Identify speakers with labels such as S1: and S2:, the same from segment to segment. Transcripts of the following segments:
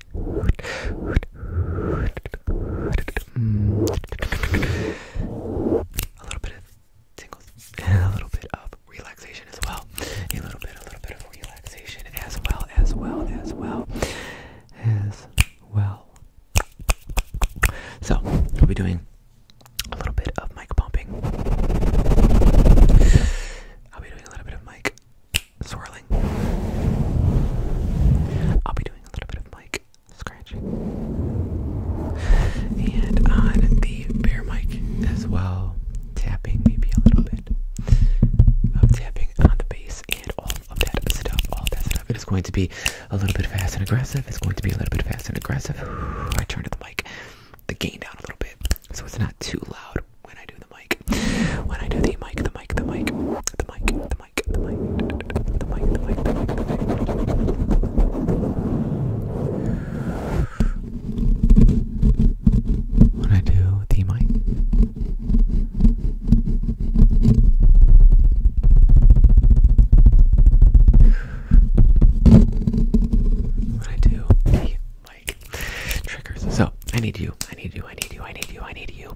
S1: Mm. A little bit of tingles, and a little bit of relaxation as well. A little bit, a little bit of relaxation as well, as well, as well, as well. So we'll be doing a little bit of mic pumping. I'll be doing a little bit of mic swirling. I'll be doing a little bit of mic scratching. And on the bear mic as well, tapping maybe a little bit of um, tapping on the bass and all of that stuff, all that stuff. It is going to be a little bit fast and aggressive. It's going to be a little bit fast and aggressive. I turned the mic, the gain down a little bit, so it's not too loud when I do the mic. When I do the mic, the mic, the mic, the mic, the mic. When I do the mic. When I do the mic. Triggers. So I need you. I need you. I need you. I need you. I need you.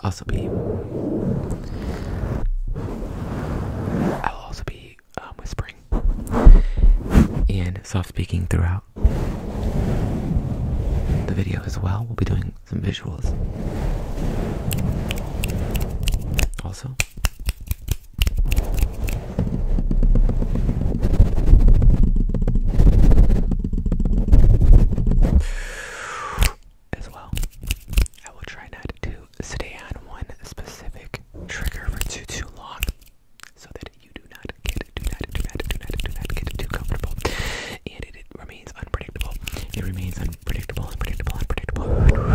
S1: also be I'll also be um, whispering and soft speaking throughout the video as well. We'll be doing some visuals. Also, as well. I will try not to stay on one specific trigger for too too long so that you do not get do not do not too not too not get too comfortable. And it remains unpredictable. It remains unpredictable, unpredictable, unpredictable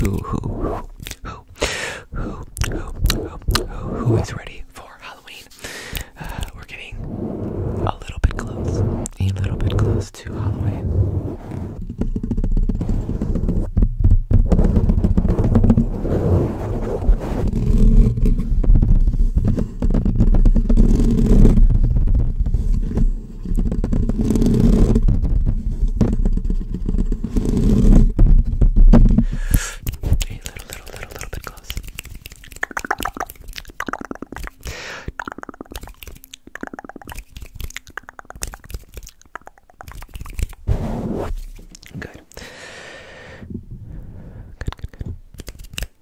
S1: Who, who, who, who, who, who, who is ready for Halloween? Uh, we're getting a little bit close, a little bit close to Halloween. A little, little, little, little bit close. Good. Good, good, good.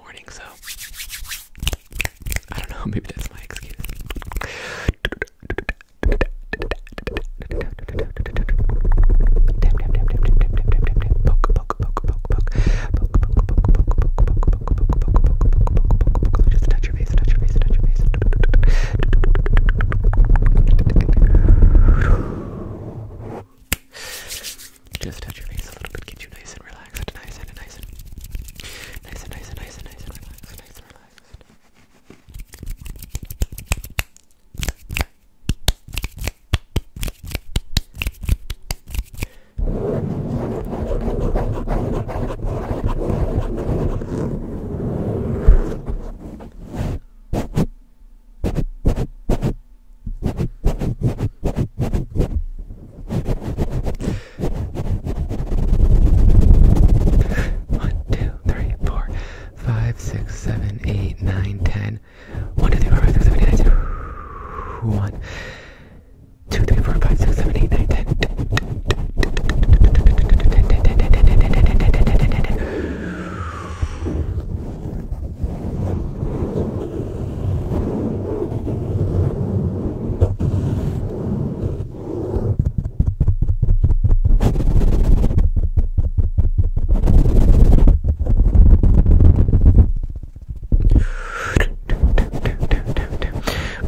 S1: morning, so I don't know, maybe that's my excuse. Just touch your face. Just touch your face a little bit, get you nice and relaxed relaxed, nice and nice and nice and nice and nice and nice and relaxed, nice and relaxed. One, two, three, four, five, six, seven, eight, nine, ten. One, two, three, four, five, six, seven, eight, nine, ten. One, two, three, four, five, six, seven, eight, nine, ten.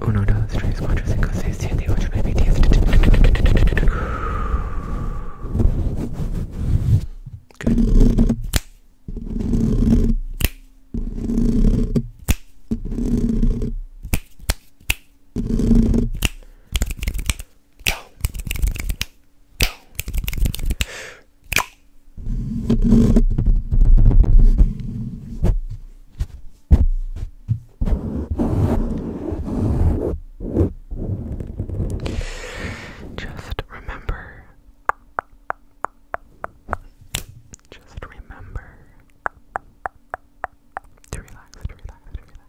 S1: Uno, dos, tres, cuatro, cinco, seis, siete, ocho, nueve, diez. Good. Just remember just remember to relax, to relax, to relax.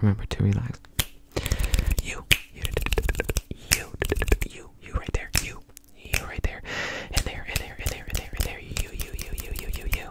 S1: Remember to relax. You, you, you, you, you right there, you, you right there, and there, and there, and there, and there, and there, you, you, you, you, you, you, you.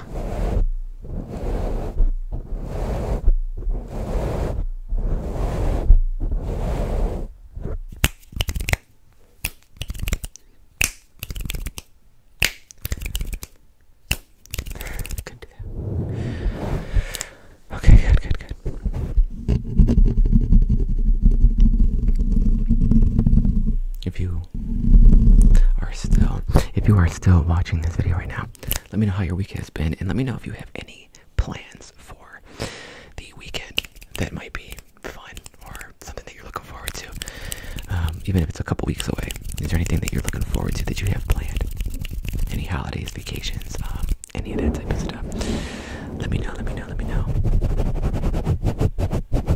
S1: Good to go. Okay, good, good, good. If you are still, if you are still watching this video right now, let me know how your week has been, and let me know if you have any plans for the weekend that might be fun or something that you're looking forward to. Um, even if it's a couple weeks away, is there anything that you're looking forward to that you have planned? Any holidays, vacations, um, any of that type of stuff? Let me know. Let me know. Let me know.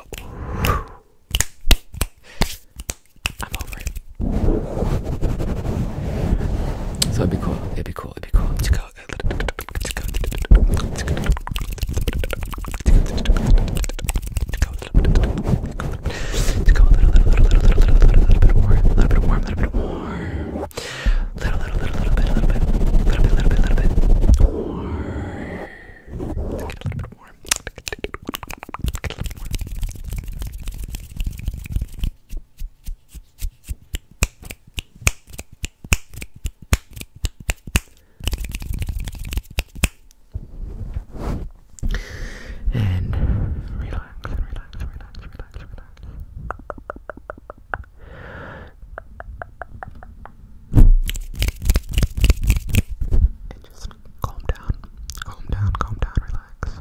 S1: Oh. I'm over it. So it'd be cool. It'd be cool. It'd be cool to go. To go. To go. To go. Little, little, little, little, little, little, little, little bit warm. Little bit warm. Little bit warm. Little, little, little, little bit. Little bit. Little bit. Little bit. Little bit warm. Let's get a little bit more. Get a little bit more. And relax, relax, relax, relax, relax. And just calm down, calm down, calm down, relax.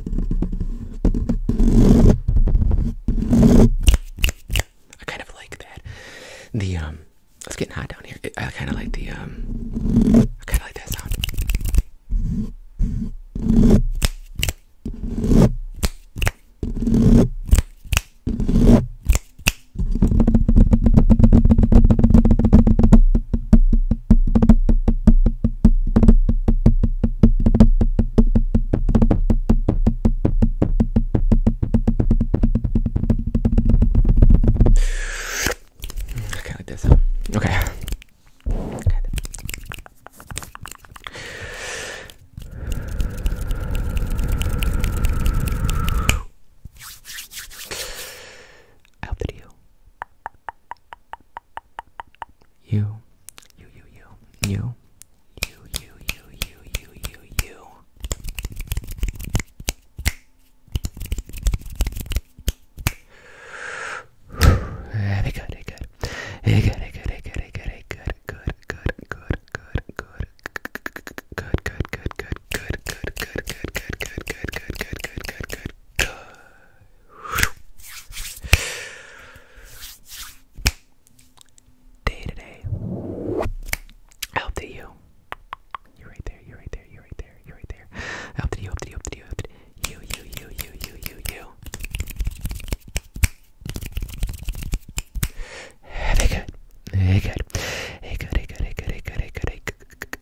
S1: I kind of like that. The um, it's getting hot down here. I kind of like the um, I kind of like that sound. Okay, like this. Okay. Good. I hope that you you, you, you, you, you, you, you, you, you, you, you, you. Very good, very good, very good, very good, very good, very good, good, good, good, good, good. Good, good, good, good, good, good, good, good, good, good, good, good, good, good, good, good, good. Day to day. Up to you. You're right there, you're right there, you're right there, you're right there. Up to you, up to you, up to you, up to you, you, you, you, you, you, you. Hey good. Hey good. Hey good, hey good, hey good, hey good, hey good, hey good,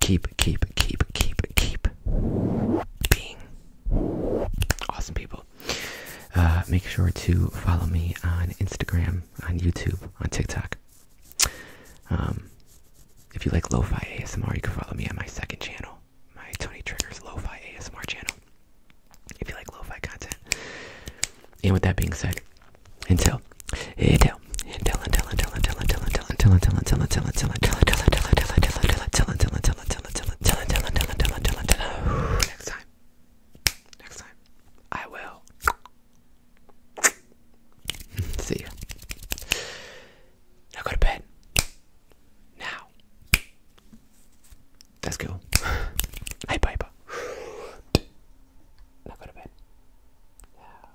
S1: keep, keep, keep, keep, keep being awesome people. Uh, make sure to follow me on Instagram, on YouTube, on TikTok. Um, if you like lo-fi ASMR, you can follow me on my second channel, my Tony Triggers lo-fi ASMR channel. If you like lo-fi content. And with that being said, until, until until until until until until until until until until until until until until until until until next time. Next time. I will see ya. Now go to bed. Now. Let's go. Hey, Piper. Now go to bed. Now.